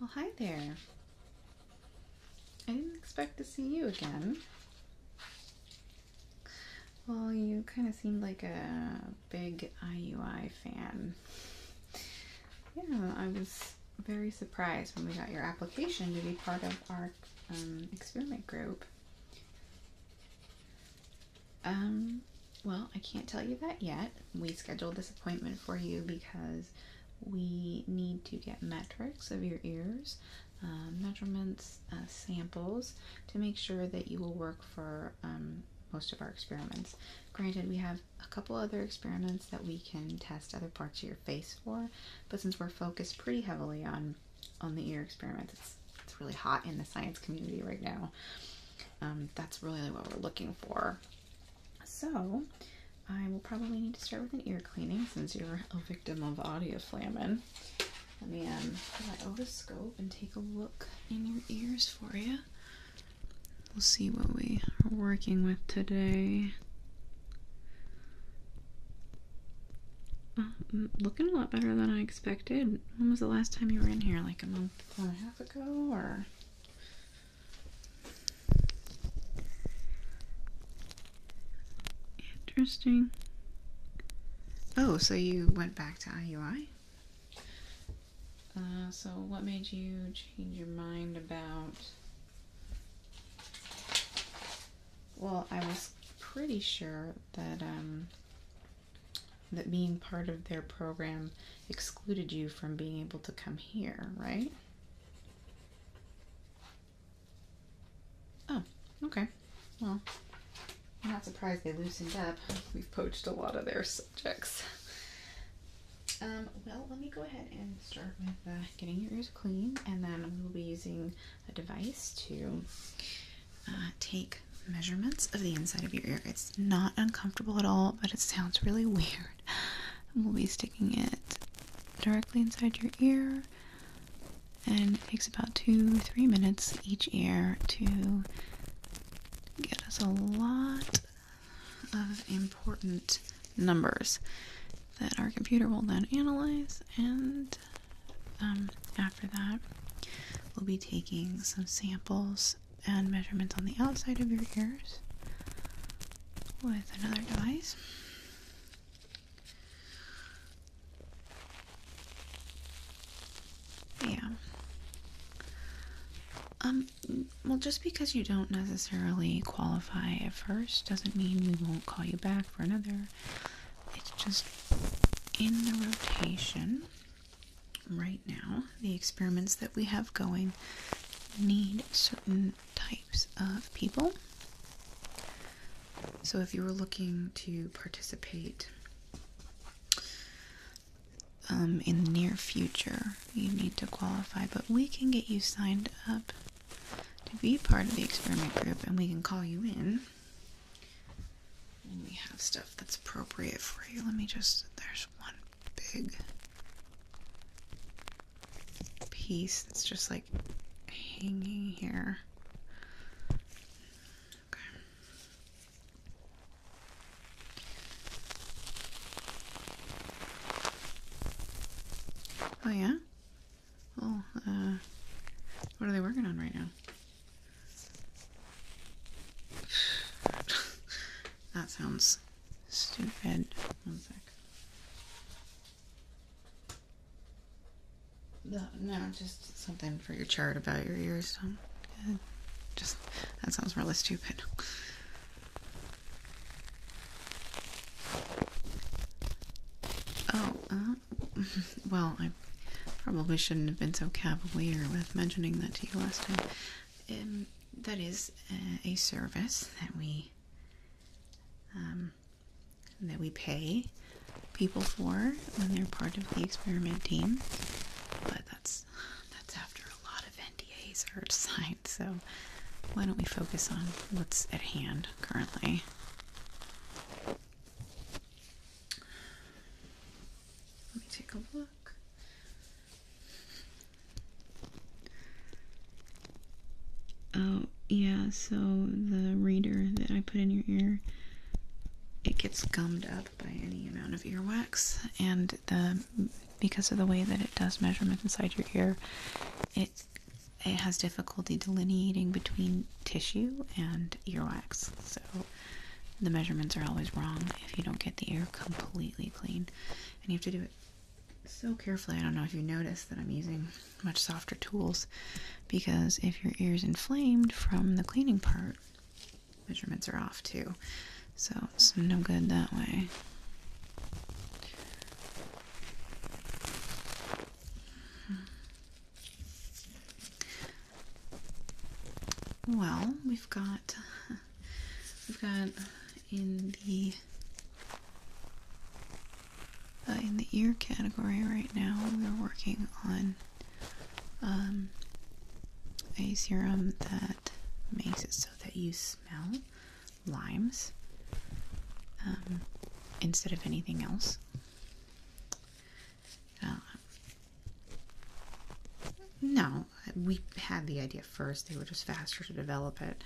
Well, hi there. I didn't expect to see you again. Well, you kind of seemed like a big IUI fan. Yeah, I was very surprised when we got your application to be part of our um, experiment group. Um, well, I can't tell you that yet. We scheduled this appointment for you because we need to get metrics of your ears, um, measurements, uh, samples to make sure that you will work for um, most of our experiments. Granted, we have a couple other experiments that we can test other parts of your face for, but since we're focused pretty heavily on on the ear experiments, it's, it's really hot in the science community right now. Um, that's really what we're looking for so I will probably need to start with an ear cleaning since you're a victim of audio flamming. Let me um, put my otoscope and take a look in your ears for you. We'll see what we are working with today. Um, looking a lot better than I expected. When was the last time you were in here? Like a month and a half ago, or Interesting. Oh, so you went back to IUI? Uh, so what made you change your mind about... Well, I was pretty sure that um, that being part of their program excluded you from being able to come here, right? Oh, okay. Well, not surprised they loosened up. We've poached a lot of their subjects. Um, well, let me go ahead and start with uh, getting your ears clean, and then we'll be using a device to uh, take measurements of the inside of your ear. It's not uncomfortable at all, but it sounds really weird. we'll be sticking it directly inside your ear. And it takes about two, three minutes each ear to get us a lot of important numbers that our computer will then analyze. And um, after that, we'll be taking some samples and measurements on the outside of your ears with another device. Yeah. Um, well, just because you don't necessarily qualify at first doesn't mean we won't call you back for another. It's just in the rotation right now, the experiments that we have going need certain types of people. So, if you were looking to participate um, in the near future, you need to qualify, but we can get you signed up to be part of the experiment group and we can call you in. And we have stuff that's appropriate for you. Let me just, there's one big piece that's just like hanging here. Okay. Oh yeah? Well, uh, what are they working on right now? that sounds Stupid. One sec. No, just something for your chart about your ears. Just that sounds really stupid. Oh, uh, well, I probably shouldn't have been so cavalier with mentioning that to you last time. Um, that is uh, a service that we um, that we pay people for when they're part of the experiment team. But that's that's after a lot of NDAs are signed. So why don't we focus on what's at hand currently? Let me take a look. Oh, yeah, so the reader that I put in your ear, it gets gummed up by any amount of earwax, and the because of the way that it does measurements inside your ear, it it has difficulty delineating between tissue and earwax. So the measurements are always wrong if you don't get the ear completely clean and you have to do it so carefully. I don't know if you notice that I'm using much softer tools because if your ear's inflamed from the cleaning part, measurements are off too. So it's no good that way. Hmm. Well, we've got we've got in the uh, in the ear category right now we're working on um, a serum that makes it so that you smell limes um, instead of anything else uh, no we had the idea first, they were just faster to develop it.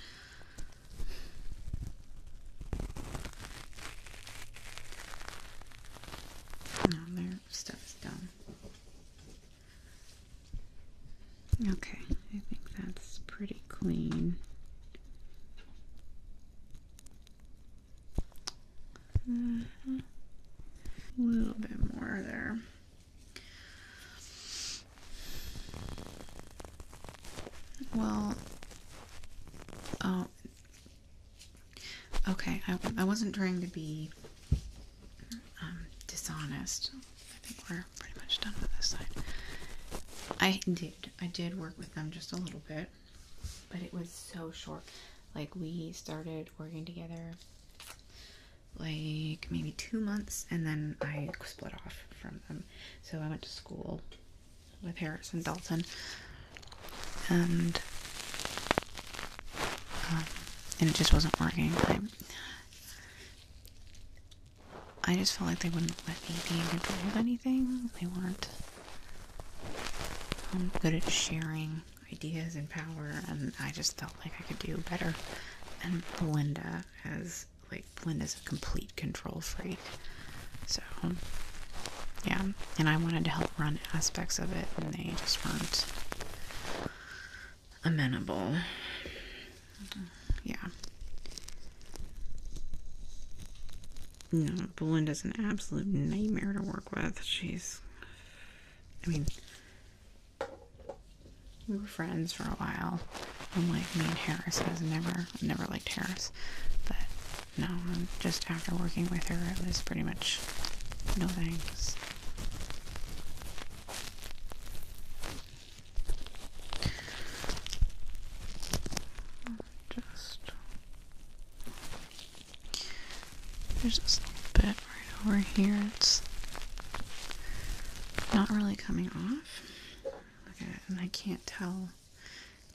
No, their stuff's done. Okay, I think that's pretty clean. Mm-hmm. A little bit more there. Well, oh, okay. I, I wasn't trying to be um, dishonest. I think we're pretty much done with this side. I did. I did work with them just a little bit, but it was so short. Like we started working together like maybe two months, and then I split off from them. So I went to school with Harris and Dalton, and um, and it just wasn't working. I, just felt like they wouldn't let me be in control of anything. They weren't um, good at sharing ideas and power, and I just like I could do better. And Belinda has like Belinda's a complete control freak. So yeah. And I wanted to help run aspects of it and they just weren't amenable. Yeah. No, Belinda's an absolute nightmare to work with. She's I mean we were friends for a while. I'm like me and Harris, I was never, never liked Harris. But no, um, just after working with her, it was pretty much no thanks. Just there's just a bit Right over here, it's not really coming off. Look at it, and I can't tell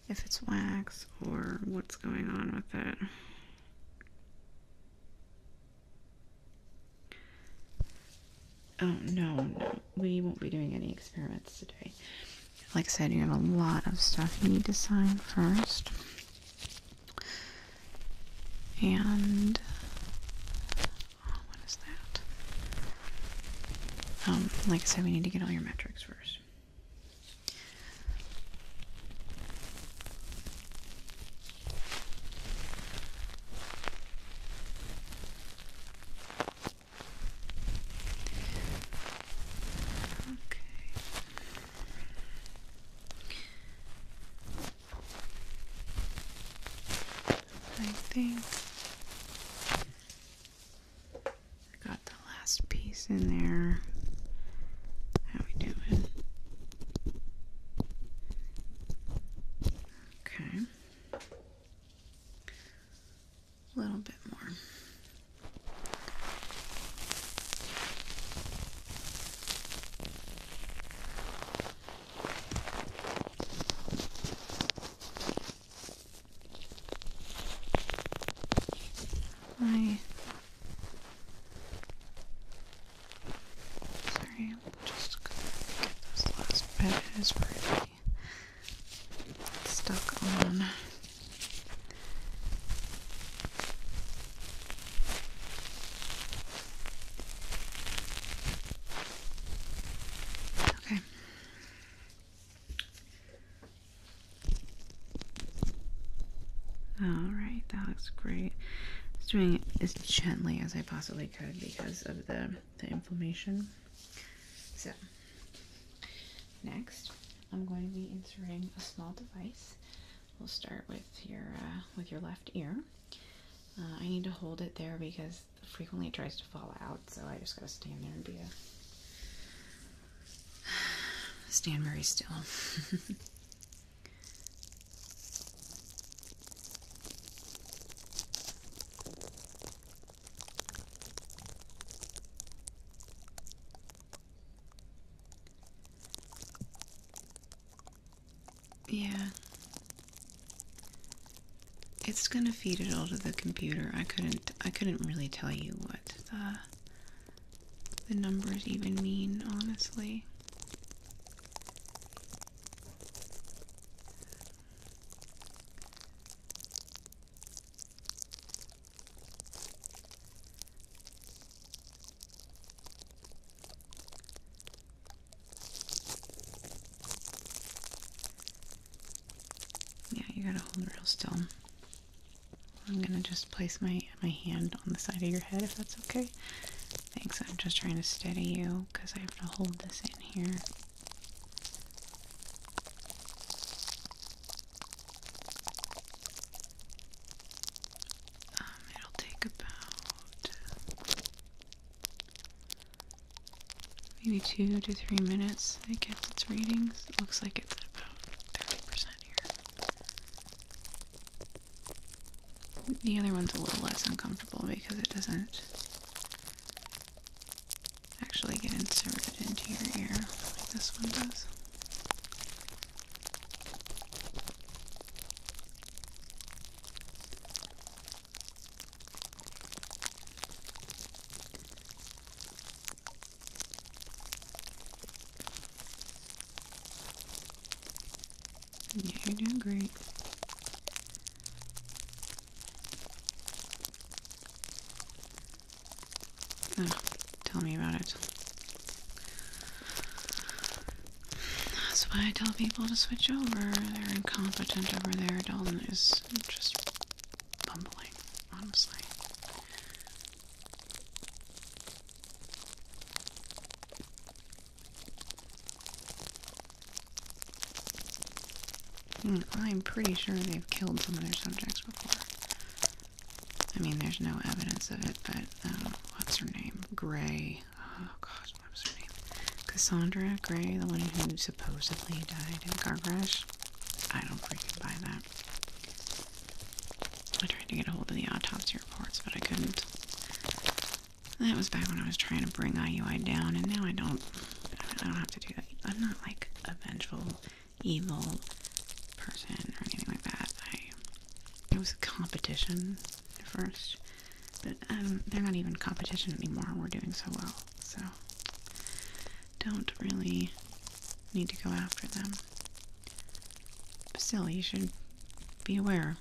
if it's wax or what's going on with it. Oh, no, no. We won't be doing any experiments today. Like I said, you have a lot of stuff you need to sign first and oh, what is that? Um, like I said, we need to get all your metrics first. Okay. I think I got the last piece in there. How we doing? Okay. A little bit more. I sorry, just gonna get this last bit is pretty stuck on. Okay. All right, that looks great. Just doing it as gently as I possibly could because of the, the inflammation. So, next, I'm going to be inserting a small device. We'll start with your uh, with your left ear. Uh, I need to hold it there because frequently it tries to fall out, so I just gotta stand there and be a stand very still. Yeah. It's gonna feed it all to the computer. I couldn't I couldn't really tell you what the the numbers even mean, honestly. Yeah, you gotta hold real still. I'm gonna just place my my hand on the side of your head if that's okay. Thanks. I'm just trying to steady you because I have to hold this in here. Um, it'll take about Maybe two to three minutes, It gets it's readings. looks like it's about 30% here. The other one's a little less uncomfortable because it doesn't actually get inserted into your ear like this one does. You're doing great. Ah, tell me about it. That's why I tell people to switch over. They're incompetent over there. Dalton is just bumbling, honestly. Hmm, I'm pretty sure they've killed some of their subjects before. I mean, there's no evidence of it, but um, what's her name? Gray Oh gosh, what was her name? Cassandra Gray, the one who supposedly died in a car crash. I don't freaking buy that. I tried to get a hold of the autopsy reports, but I couldn't. That was back when I was trying to bring IUI down, and now I don't. I don't have to do that. I'm not like a vengeful, evil person or anything like that. I. It was a competition at first. But um, they're not even competition anymore. We're doing so well. So don't really need to go after them. But still, you should be aware.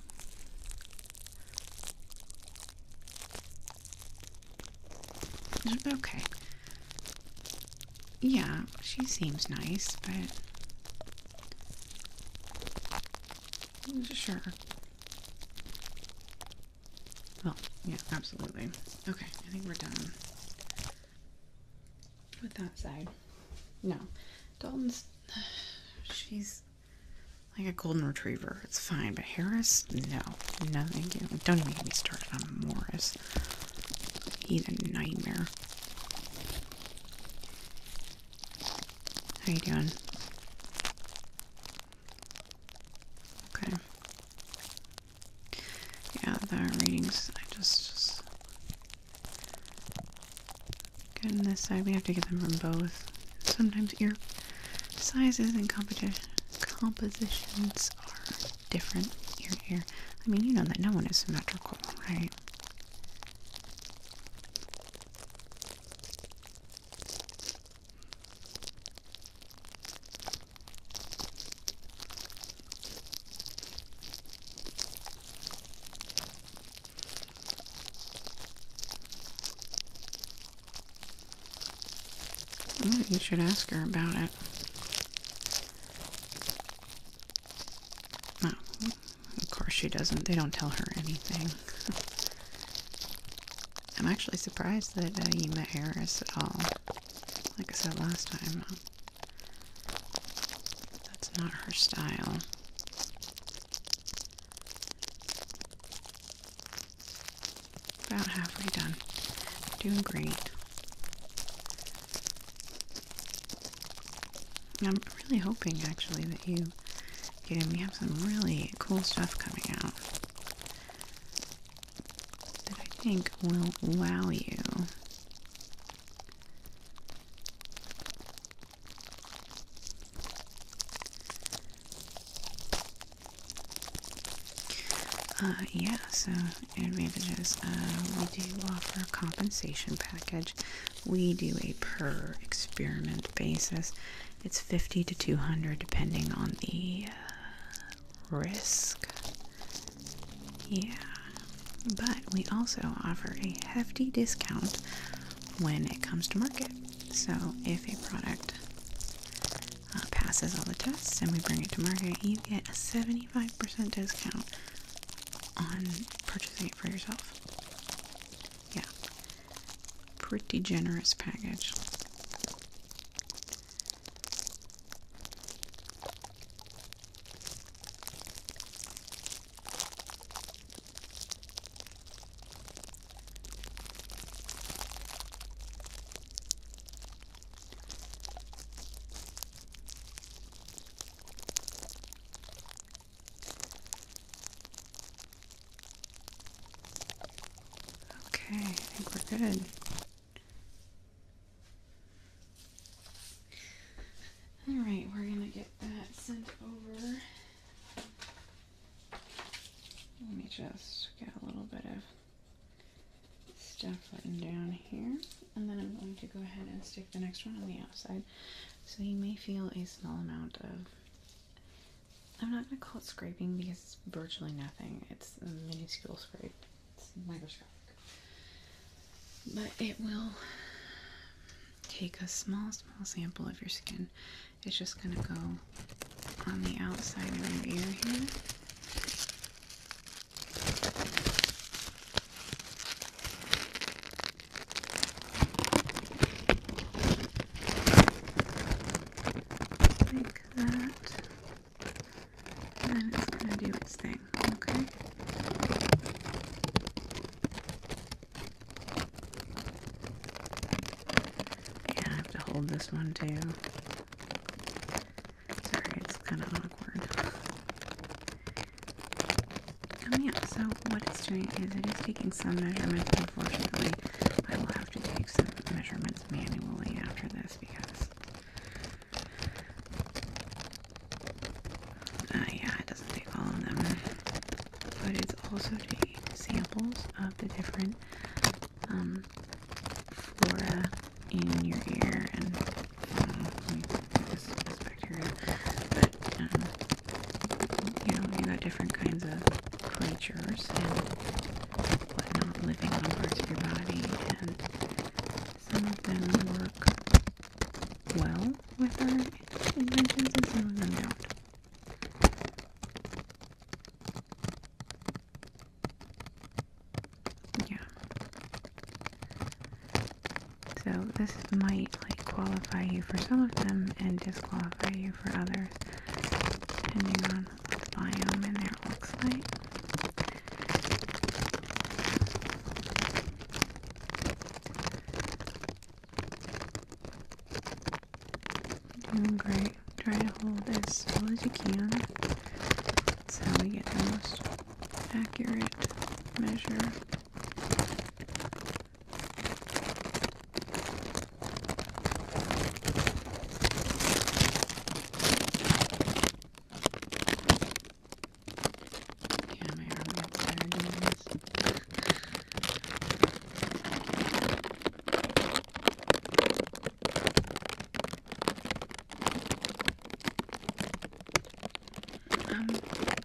Okay. Yeah, she seems nice, but. Sure. Well, yeah, absolutely. Okay, I think we're done with that side. No, Dalton's. She's like a golden retriever. It's fine, but Harris, no, no, thank you. Don't even get me started on Morris. He's a nightmare. How you doing? Okay. Yeah, the readings, I just, just... Good on this side, we have to get them from both. Sometimes ear sizes and competition compositions are different ear ear. I mean, you know that no one is symmetrical, right? you should ask her about it. Oh. Of course she doesn't. They don't tell her anything. I'm actually surprised that uh, you met Harris at all. Like I said last time, uh, that's not her style. About halfway done. Doing great. I'm really hoping actually that you yeah, we have some really cool stuff coming out that I think will wow you. Uh, yeah, so advantages. Uh, we do offer a compensation package we do a per experiment basis. It's 50 to 200 depending on the uh, risk. Yeah. But we also offer a hefty discount when it comes to market. So if a product uh, passes all the tests and we bring it to market, you get a 75% discount on purchasing it for yourself. Yeah. Pretty generous package. Okay, I think we're good. All right, we're gonna get that sent over. Let me just get a little bit of stuff written down here. And then I'm going to go ahead and stick the next one on the outside. So you may feel a small amount of I'm not gonna call it scraping because it's virtually nothing. It's a minuscule scrape. It's microscopic. But it will take a small, small sample of your skin. It's just gonna go on the outside of your ear here. Like that. And it's going to do its thing, okay? Yeah, I have to hold this one too. Sorry, it's kind of awkward. Oh yeah, so what it's doing is it is taking some measurements. Unfortunately, I will have to take some measurements manually after this because, uh, yeah, it doesn't take all of them, but it's also taking samples of the different um, flora in your ear and. Uh, bacteria, um, you know, you got different kinds of creatures and whatnot living on parts of your body, and some of them work well with our inventions, and some of them don't. Yeah. So this might like qualify you for some of them and disqualify you for others depending on the biome in there looks like. Doing great. Try to hold as still as you can. That's how we get the most accurate measure yeah, my arm looks better doing this. Um, like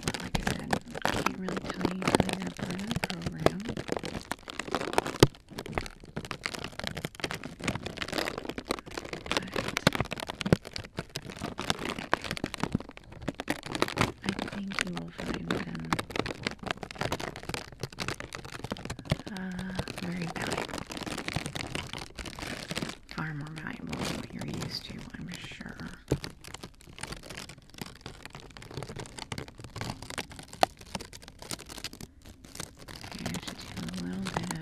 I said, I can't really tell you guys that program. But I think you will find them uh, very valuable. Far more valuable than what you're used to, I'm sure. I just do a little bit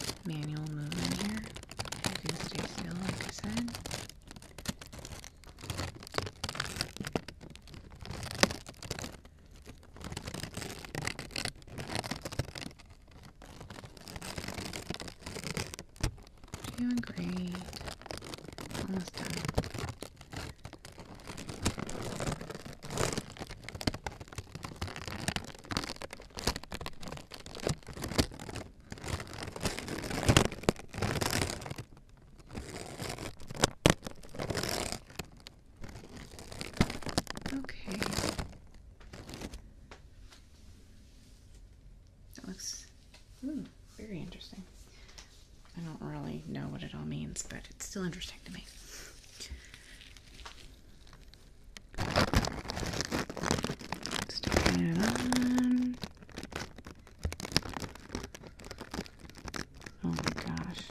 of manual movement here. I do stay still, like I said. Doing great. Almost done. Okay. That looks hmm, very interesting. I don't really know what it all means, but it's still interesting to me. Sticking it on. Oh my gosh.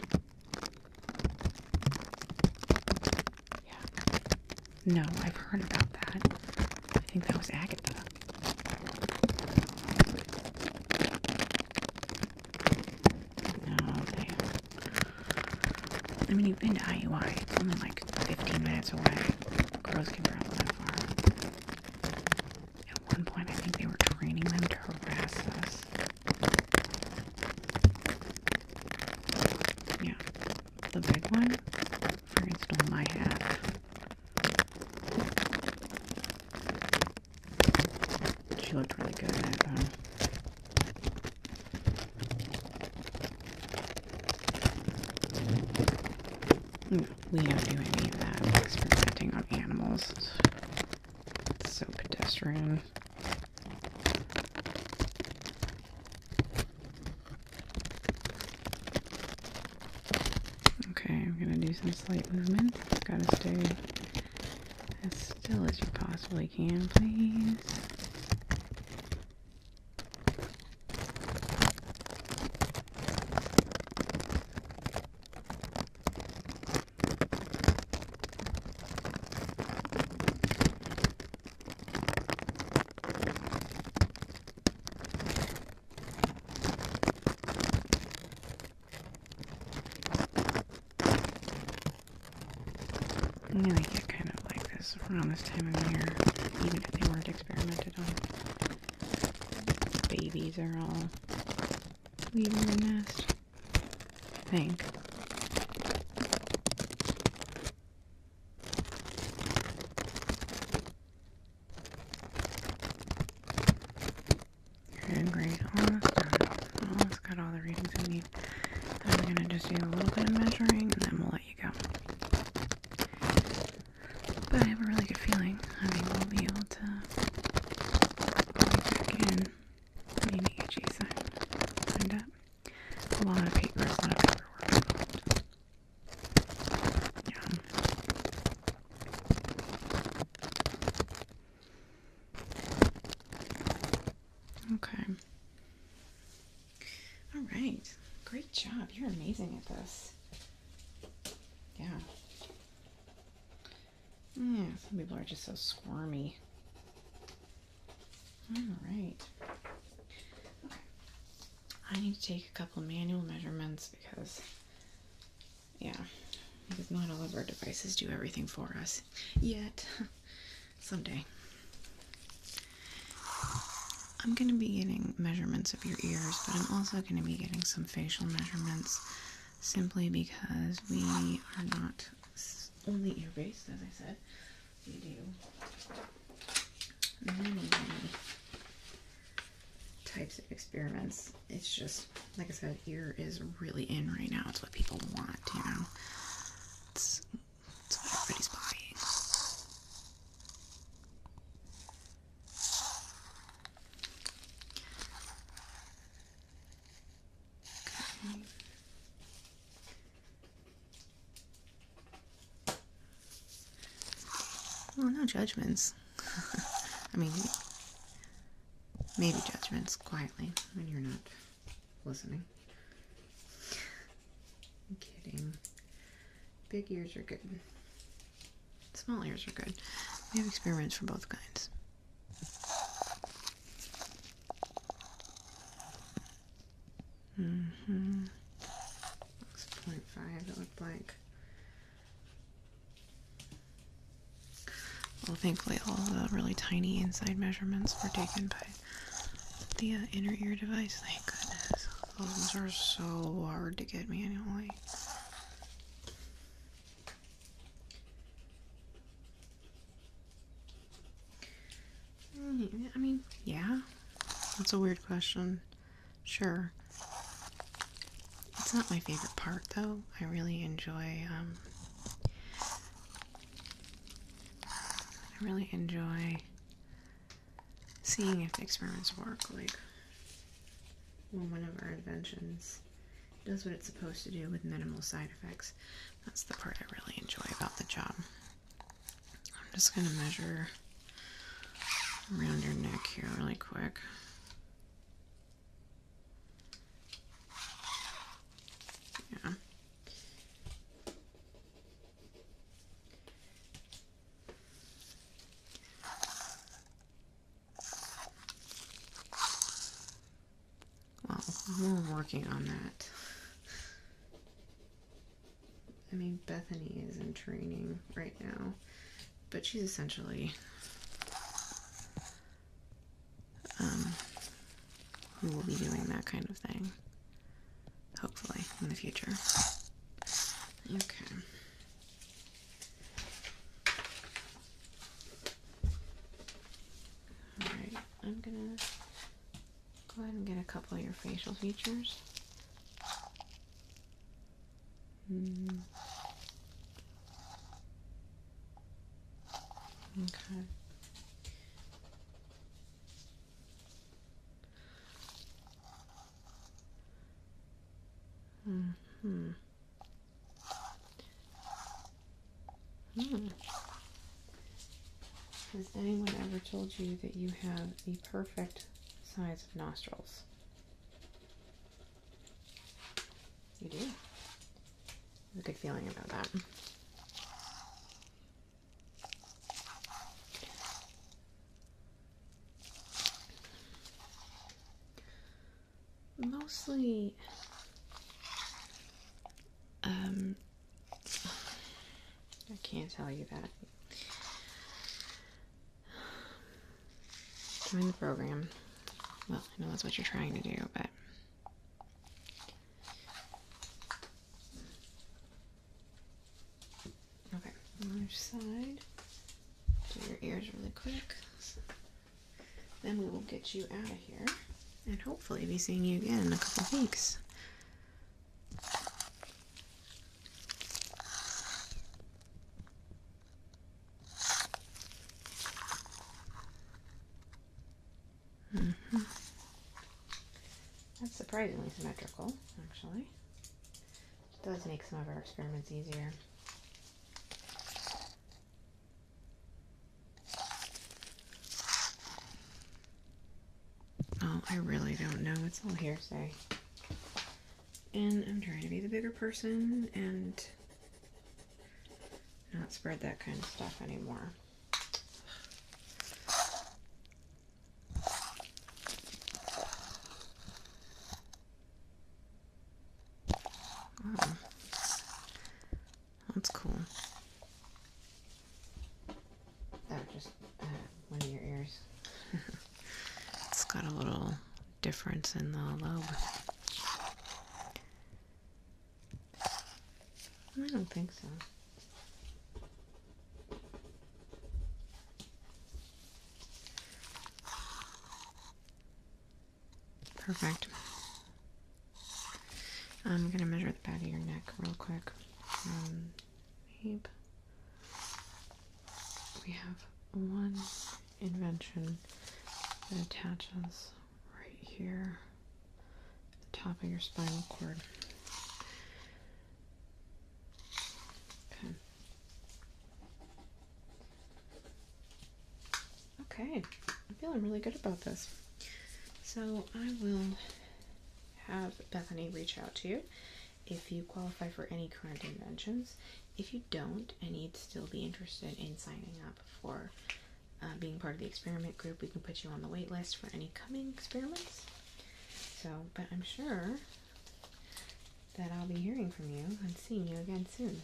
Yeah. No, I've heard about that. I think that was Agatha. Oh, damn. I mean, you've been to IUI. It's only like 15 minutes away. Girls can travel that far. At one point, I think they were training them to harass us. Yeah, the big one. Fran stole my hat. She looked really good in it, though. Hmm, we don't do any of that experimenting on animals. It's so pedestrian. Okay, I'm gonna do some slight movement. Gotta stay as still as you possibly can, please. I really get kind of like this around this time of year, even if they weren't experimented on. Babies are all leaving the nest. I think you great. Almost done. Almost got all the readings we need. I'm going to just do a little bit of measuring and then we'll let you go. But I have a really good feeling. I mean, we'll be able to back in the EEG sign. Signed up. A lot of paper, a lot yeah. Okay. All right. Great job. You're amazing at this. Yeah. Yeah, some people are just so squirmy. All right. Okay. I need to take a couple manual measurements because yeah, because not all of our devices do everything for us yet. Someday. I'm going to be getting measurements of your ears, but I'm also going to be getting some facial measurements simply because we are not only ear based, as I said types of experiments. It's just, like I said, ear is really in right now. It's what people want, you know? It's, it's what everybody's buying. Well, no judgments. I mean, maybe judgments quietly when you're not listening. kidding. Big ears are good. Small ears are good. We have experiments for both kinds. Mm-hmm. Six point five. It looked like well, thankfully, all the really tiny inside measurements were taken by the uh, inner ear device. Thank goodness. Those are so hard to get manually. Mm-hmm. I mean, yeah. That's a weird question. Sure. It's not my favorite part though. I really enjoy um, I really enjoy seeing if the experiments work like well one of our inventions does what it's supposed to do with minimal side effects. That's the part I really enjoy about the job. I'm just going to measure around your neck here really quick. Yeah. Well, we're working on that. I mean, Bethany is in training right now, but she's essentially um, who will be doing that kind of thing, hopefully, in the future. Okay. Alright, I'm gonna go ahead and get a couple of your facial features. Okay. Mm hmm. Hmm. Has anyone ever told you that you have the perfect size of nostrils? You do. I have a good feeling about that. Mostly, um, I can't tell you that. Join the program. Well, I know that's what you're trying to do, but. Okay, on each side. Do your ears really quick. then we will get you out of here and hopefully be seeing you again in a couple weeks. Mm -hmm. That's surprisingly symmetrical, actually. does make some of our experiments easier. Oh, I really don't know. It's all hearsay and I'm trying to be the bigger person and not spread that kind of stuff anymore. Wow. That's cool. That just uh, one of your ears. it's got a little difference in the lobe. I don't think so. Perfect. I'm going to measure the back of your neck real quick. Um, we have one invention that attaches right here the top of your spinal cord okay okay i'm feeling really good about this so i will have bethany reach out to you if you qualify for any current inventions. If you don't, and you'd still be interested in signing up for uh, being part of the experiment group, we can put you on the wait list for any coming experiments. So, but I'm sure that I'll be hearing from you and seeing you again soon.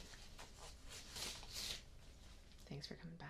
Thanks for coming by.